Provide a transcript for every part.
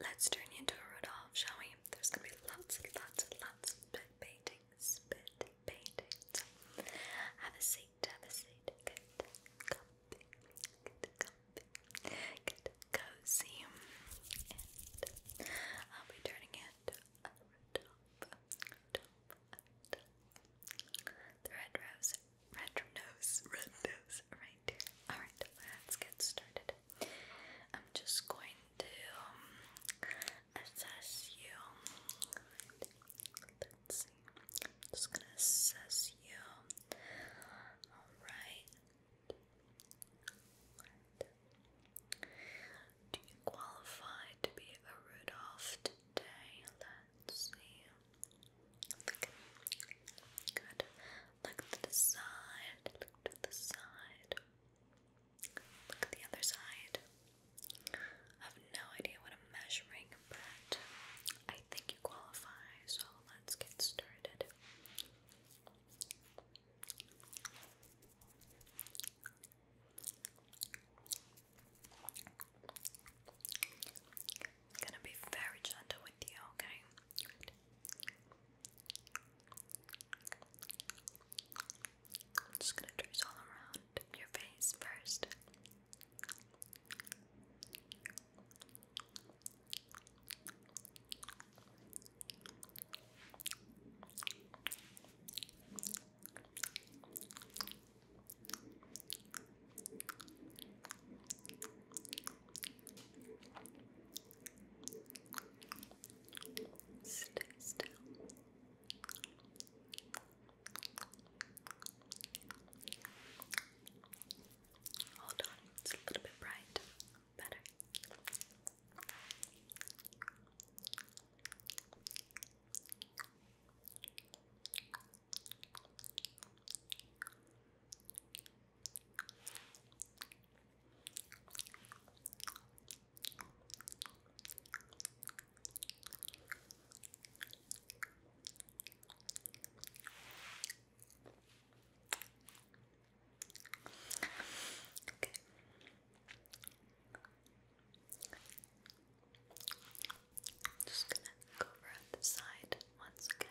Let's turn you into a Rudolph, shall we? There's gonna be lots and lots and lots of spit paintings, spit paintings. Have a seat, have a seat. Get comfy, get comfy, get cozy. I'll be turning into a Rudolph, The red rose, red nose, red nose, is Alright, let's get started. I'm just going to um, assess you. Let's see. I'm just gonna assess you. Alright. Do you qualify to be a Rudolph today? Let's see. Look. Good. Look to the side. Look to the side. Look the other side. I have no idea what I'm measuring, but I think you qualify, so let's get started. gonna be very gentle with you, okay? I'm just gonna trace all around your face first. Stay still. Hold on, it's a little bit bright. Better. Just gonna go around the side once again.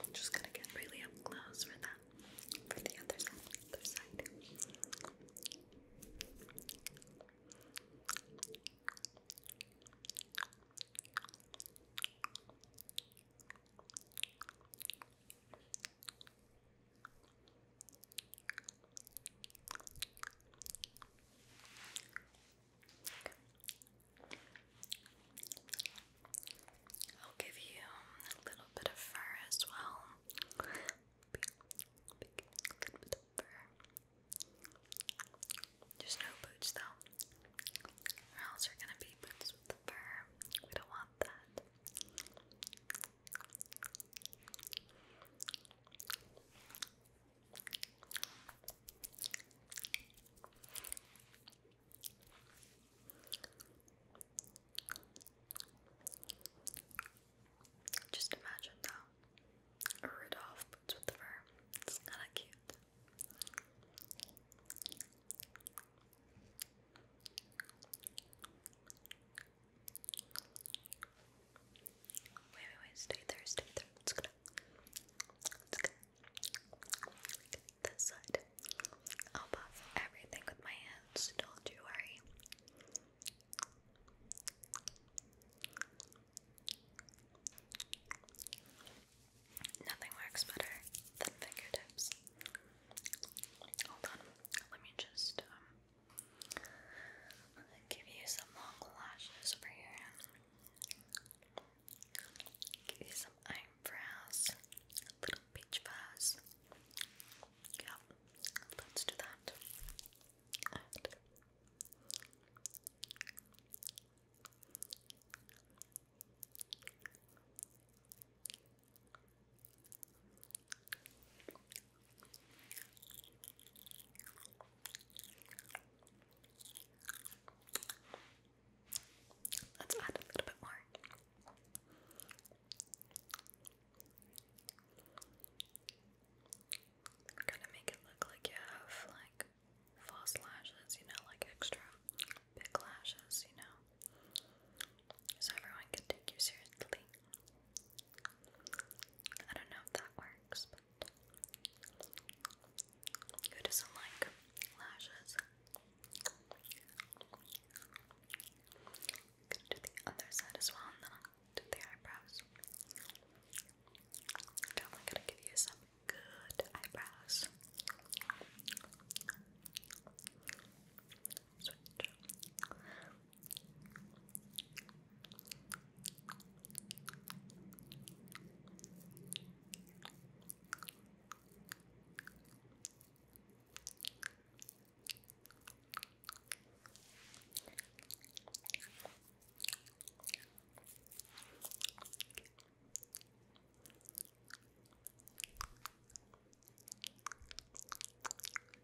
I'm just gonna get really up close for that. For the other side, I'll give you um, a little bit of fur as well. Big, no boots though, or else you're gonna be boots with the fur. We don't want that. Just imagine though, Rudolph with the fur. It's kind of cute. Wait, wait, wait, stay there, stay there. Let's go. let the side. I'll buff everything with my hands, don't you worry. Nothing works better than fingertips. Hold on, let me just um, give you some long lashes over here. Give you some eyebrows, a little peach fuzz. Yep, let's do that. Let's add a little bit more. We're gonna make it look like you have like false lashes, you know, like extra big lashes, you know, so everyone can take you seriously. I don't know if that works, but who doesn't like lashes? I'm gonna do the other side as well, and then I'll do the eyebrows. Definitely gonna give you some good eyebrows. Switch.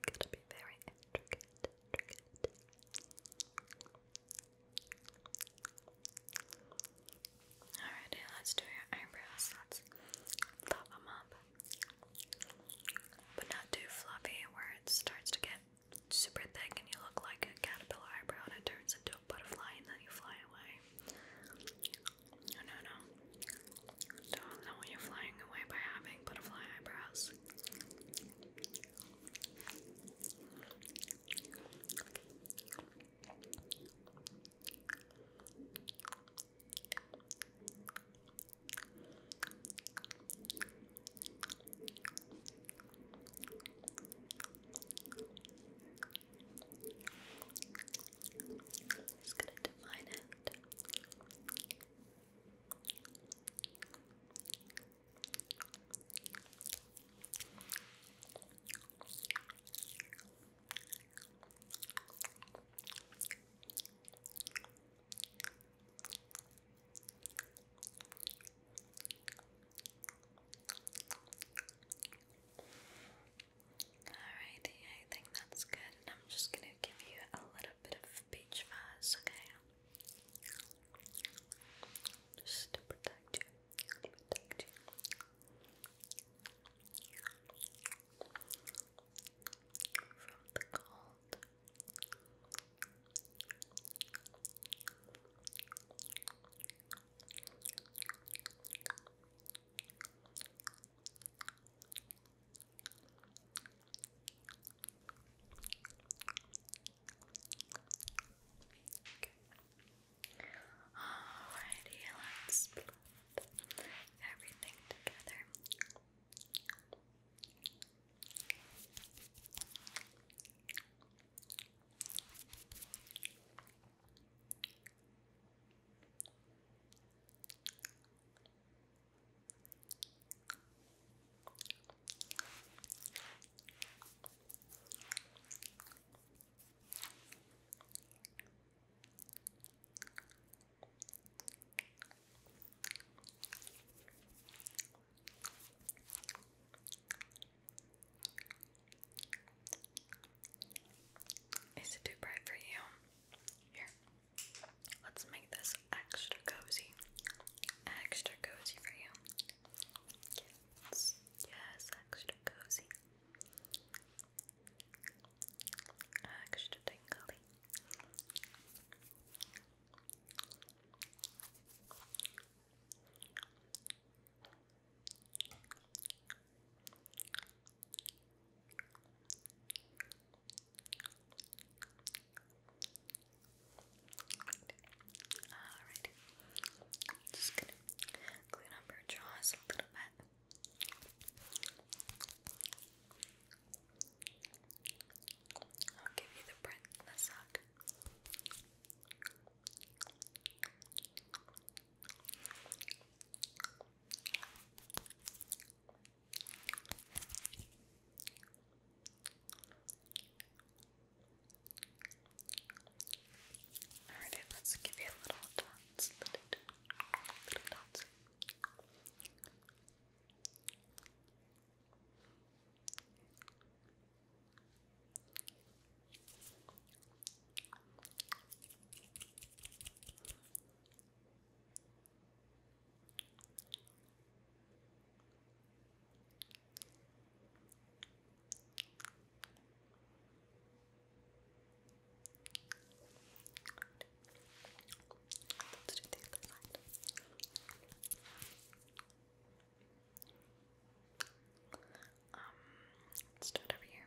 Gotta be very intricate. Alrighty, let's do your eyebrows. Let's fluff them up. But not too fluffy where it starts to get super thick and you look like a caterpillar eyebrow and it turns into a butterfly and then you fly away. No, no, no. Don't know when you flying away by having butterfly eyebrows just gonna define it. Alrighty, I think that's good, I'm just gonna give you a little bit of peach fuzz, okay? Just to protect you protect you from the cold. Alrighty, let's put everything together. Is it too bright for you? Here, let's make this extra cozy. Extra cozy for you. Yes, extra cozy extra tingly. Alright, just gonna clean up her jaws a little bit. I'll give you the print in the sock. Alright, let's give you a little dots. Little, dots. Let's do the other side. let's do it over here.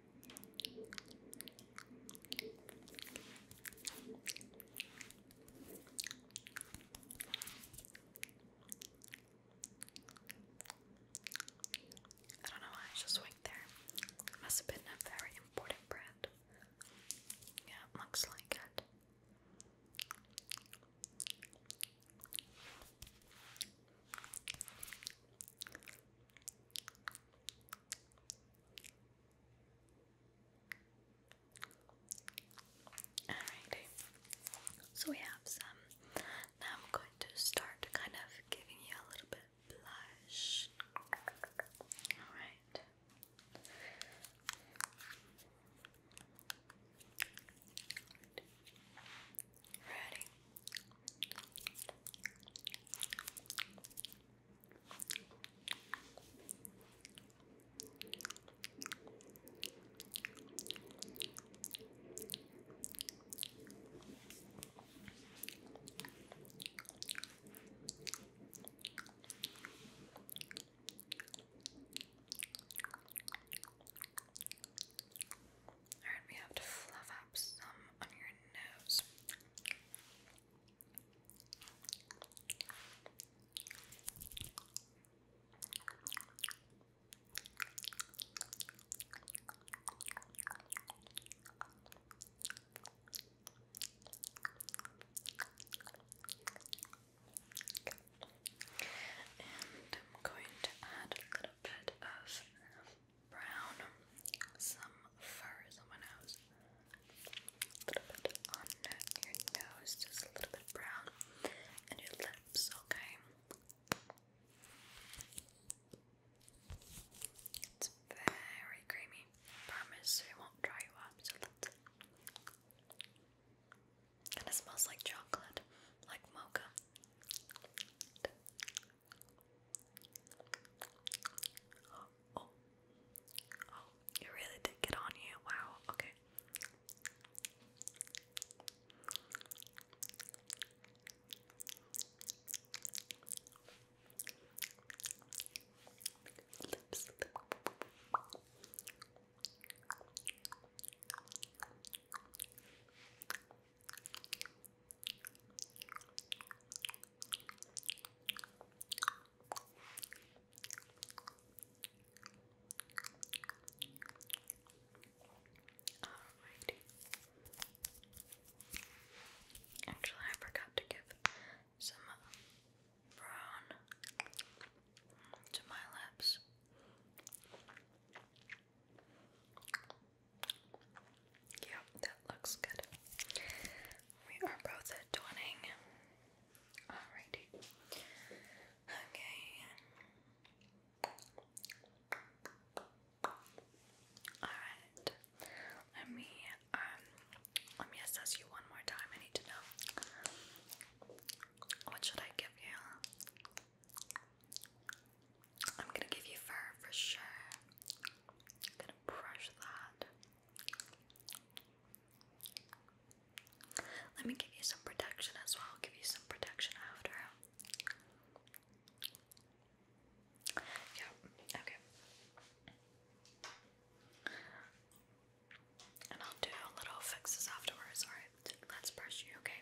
I don't know why I just went there. must have been a very important brand. Yeah, looks like it. Alrighty, so we have some. Now I'm going to start kind of giving you a little bit blush. Alright. Ready? Good. Alright, we have to fluff up some on your nose. And I'm going to add a little bit of brown, some furs on my nose, a little bit on your nose, just a little bit brown, and your lips, okay? It's very creamy. promise it won't dry you up, so let and it smells like chocolate, like mocha. Oh oh, oh. oh, it really did get on you. Wow, okay. Lips. Alrighty. Actually, I forgot to give some brown to my lips. Yeah, that looks good. We are both at twinning. Alrighty. Okay. Alright. Let me um let me assess you one more time. I need to know. What should I give you? I'm gonna give you fur for sure. gonna brush that. Let me give you some protection as well. give you some protection after. Yeah, okay. And I'll do little fixes afterwards, alright? Let's brush you, okay?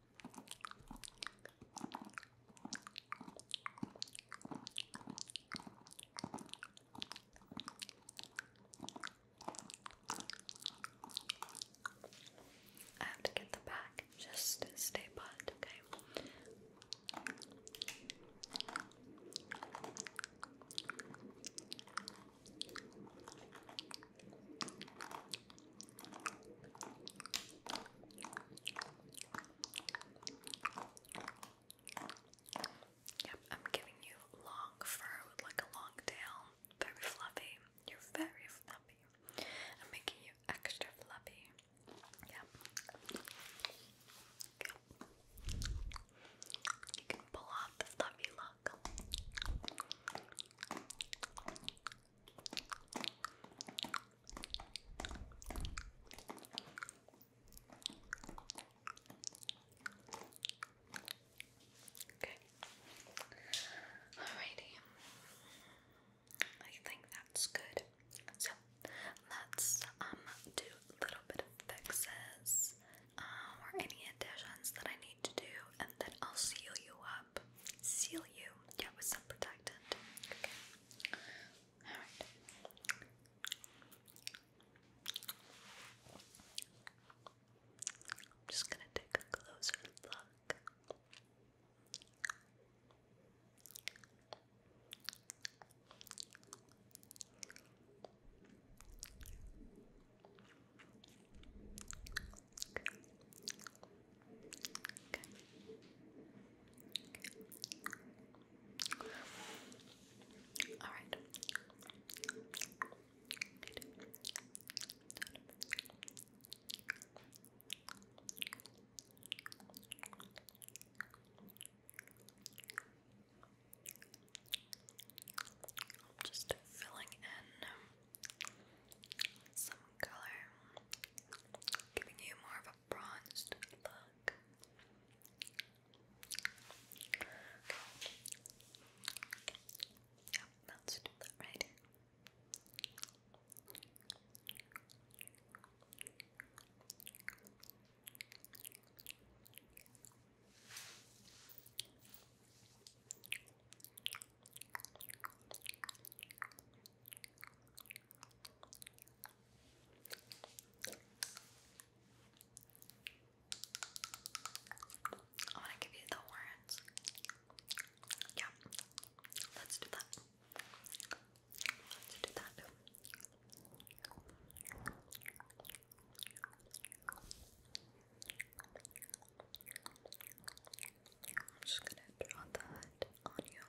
I have to get the back. Just stay put, okay? Okay. Yep, I'm giving you long fur like a long tail. Very fluffy. You're very fluffy. I'm making you extra fluffy. Yep. Yep. You can pull off the fluffy look. Okay. Alrighty. I think that's good. So let's um do a little bit of fixes um, or any additions that I need to do, and then I'll seal you seal you, yeah, with some protectant. Okay. All right. I'm just gonna take a closer look. Okay. All right. Just filling in some color, giving you more of a bronzed look. Okay. Yep, right. I want to give you the words. Yeah, let's do that. Let's do that. I'm just gonna draw that on you.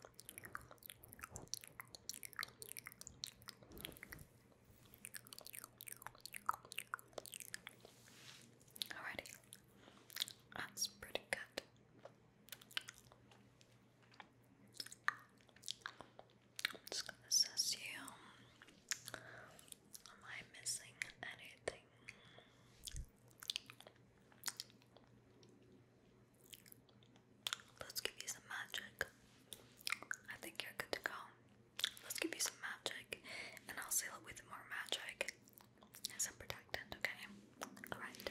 Alrighty, that's pretty good. just gonna assess you. Am I missing anything? Let's give you some magic. I think you're good to go. Let's give you some magic, and I'll seal it with more magic and some protectant, okay? Alright.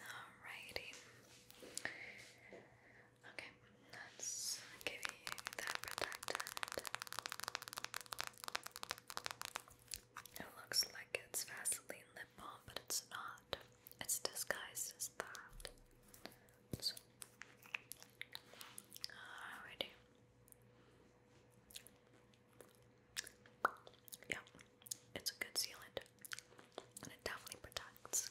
Alrighty. Okay, let's give you that protectant. It looks like it's Vaseline lip balm, but it's not. It's disguised as that. So. Alrighty. Yeah, it's a good sealant. And it definitely protects.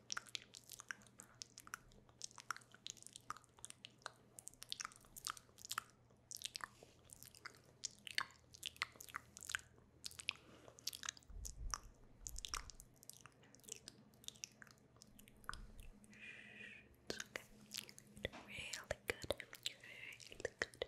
Really good. Really good. Good.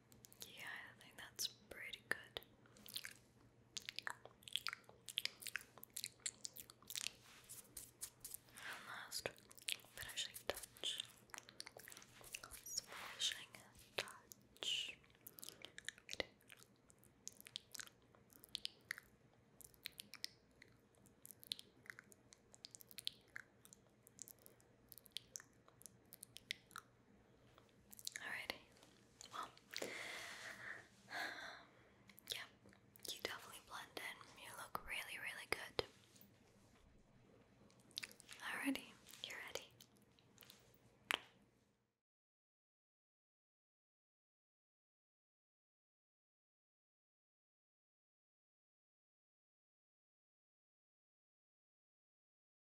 Yeah, I think that's pretty good. And last, finishing touch. Finishing touch. Alrighty. Well, yeah, you definitely blend in. You look really, really good. Alrighty, you ready.